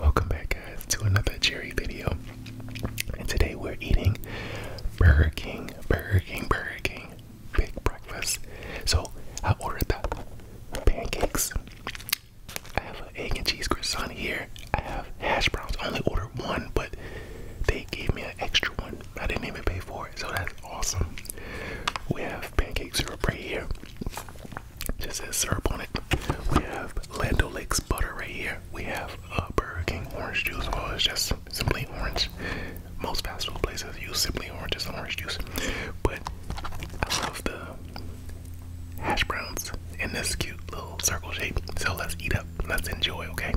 Welcome back guys to another Jerry video. And today we're eating Burger King, Burger King, Burger King, big breakfast. So I ordered the pancakes. I have an egg and cheese croissant here. I have hash browns. I only ordered one, but they gave me an extra one. I didn't even pay for it, so that's awesome. We have pancakes syrup right here. Just says syrup on it. We have Lando Lakes butter right here. We have uh, Burger King orange juice. Well, oh, it's just simply orange. Most fast food places use simply orange as orange juice. But I love the hash browns in this cute little circle shape. So let's eat up. Let's enjoy, okay?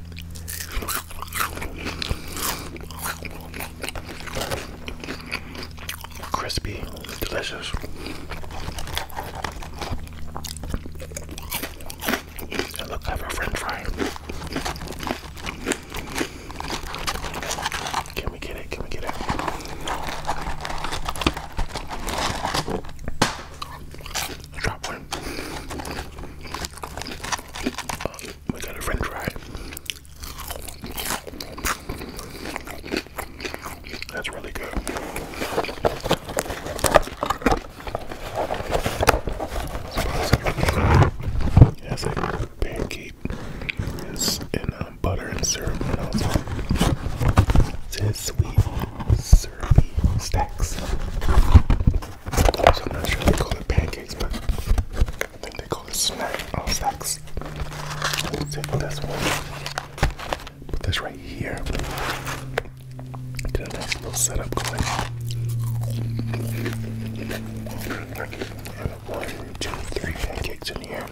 Crispy, delicious. It looks like a french fry. Can we get it? Can we get it? Drop one. Oh, we got a french fry. That's really good. It has a pancake it's in um, butter and syrup also it says sweet syrupy stacks. So I'm not sure they call it pancakes, but I think they call it snack oh, snacks. let this one. Put this right here. Get a nice little setup going. And one, two, three pancakes in here.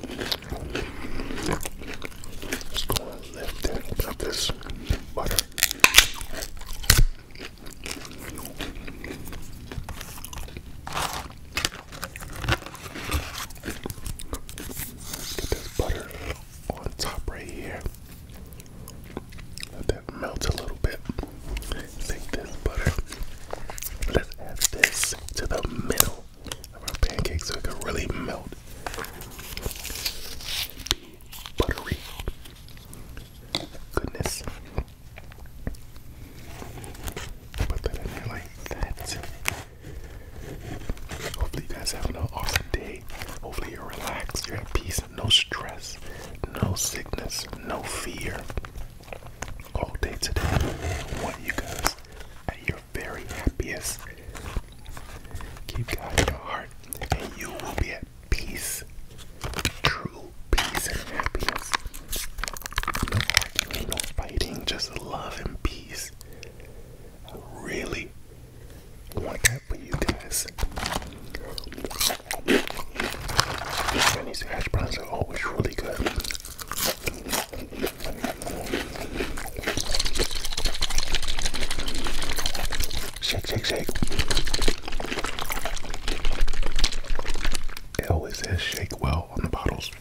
Just go and lift and put this butter. Get this butter on top right here. Let that melt a little bit. Take this butter. Let's add this to the middle of our pancakes so it can really melt. Buttery. Goodness. Put that in there like that. Hopefully, you guys have an awesome day. Hopefully, you're relaxed, you're at peace, no stress, no sickness, no fear. All day today, I want you guys at your very happiest. Keep God in your heart, and you will be at peace, true peace and happiness. No fighting, just love and peace. I really want that for you guys. these hash browns are always really good. Shake, shake, shake. It always says shake well on the bottles.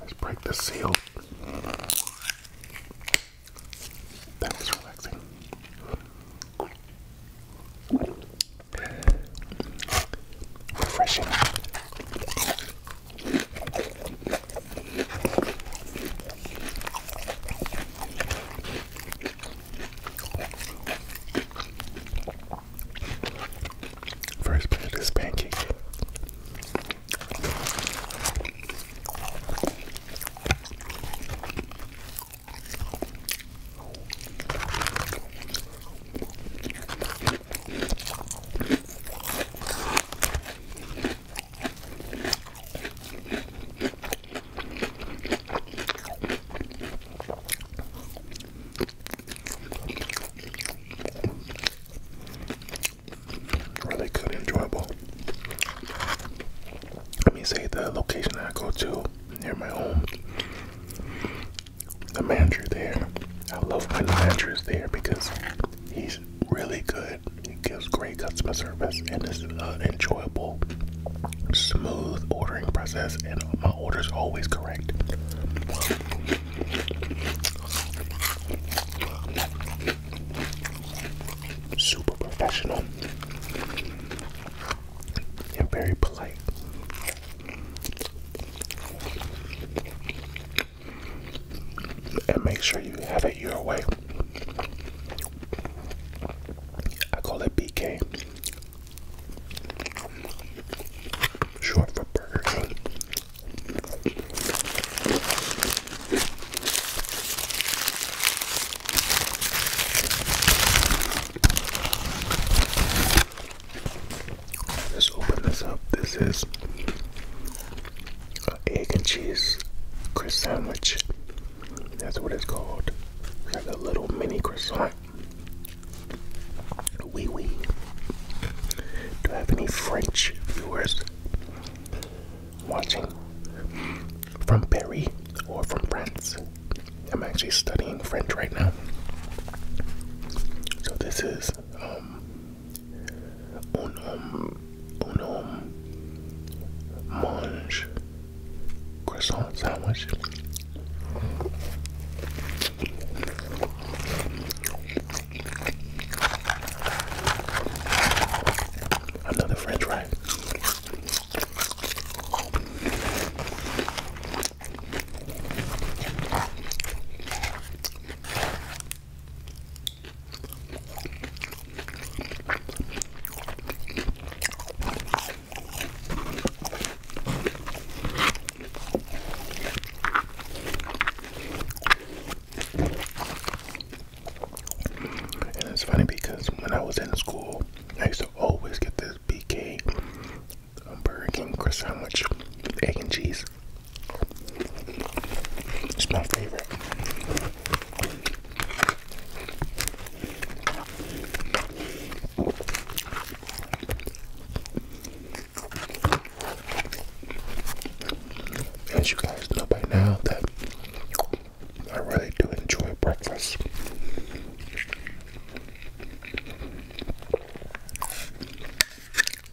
Let's break the seal. That was relaxing. Refreshing. First bite of this pancake. Really good, enjoyable. Let me say the location I go to near my home. The manager there, I love my the manager is there because he's really good. It gives great customer service and it's uh, enjoyable, smooth ordering process, and my order's are always correct. Super professional and very polite and make sure you have it your way. I call it BK, short for Burger Let's open this up. This is egg and cheese croissant sandwich. That's what it's called. It's like a little mini croissant. Wee wee. Do I have any French viewers watching from Paris or from France? I'm actually studying French right now. So this is um, Un homme, un homme mange croissant sandwich. Another French fry. And it's funny because when I was in school, I used to always get this BK um, Burger King croissant sandwich, egg and cheese. It's my favorite. As you guys know by now, that I really do enjoy breakfast.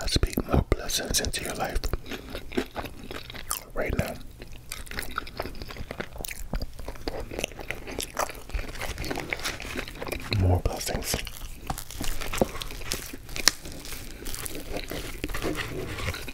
I speak more blessings into your life right now. More blessings.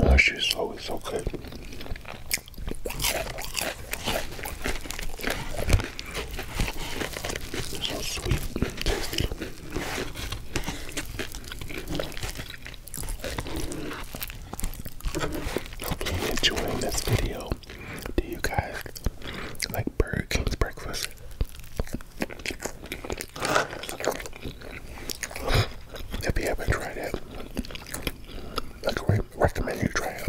Oh, she's always so good. So sweet and tasty. Hope you're enjoying this video. Do you guys like Burger King's breakfast? If you haven't tried it, I recommend you try it.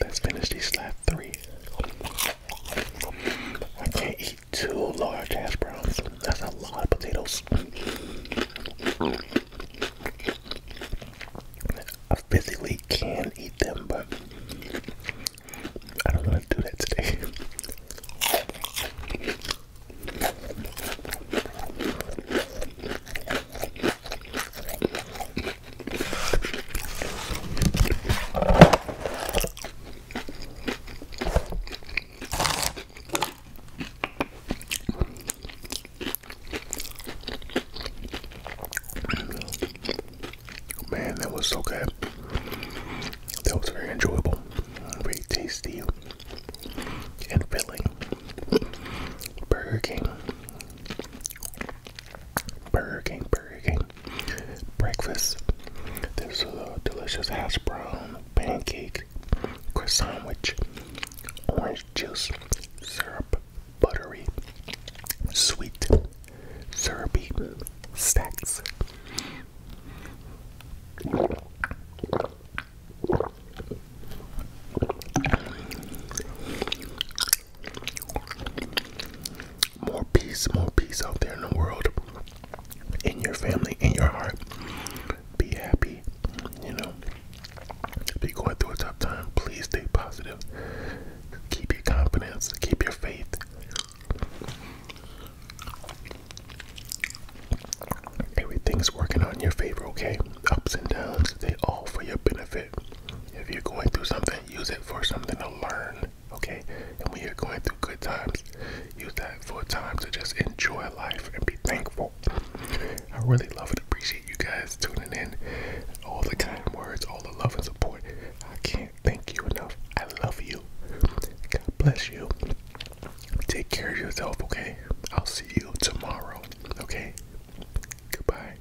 Let's finish these slab three. I can't eat two large hash browns. That's a lot of potatoes. I physically can not eat them, but I don't know how to do that today. Man, that was so good. That was very enjoyable, very tasty, and filling. Burger King. Burger King, Burger King. Breakfast. This is a delicious hash brown pancake, croissant sandwich, orange juice, syrup, buttery, sweet, syrupy snacks. More peace, more peace out there in the world, in your family, in your heart. Be happy, you know. If you're going through a tough time, please stay positive keep your confidence, keep your faith. Everything's working out in your favor, okay? Ups and downs, they all for your benefit. If you're going through something, use it for something to learn, okay? And when you're going through good times, use that for time to just enjoy life and be thankful. I really love and appreciate you guys tuning in. All the kind words, all the love and support. I can't thank you enough. I love you. God bless you. Take care of yourself, okay? I'll see you tomorrow, okay? Goodbye.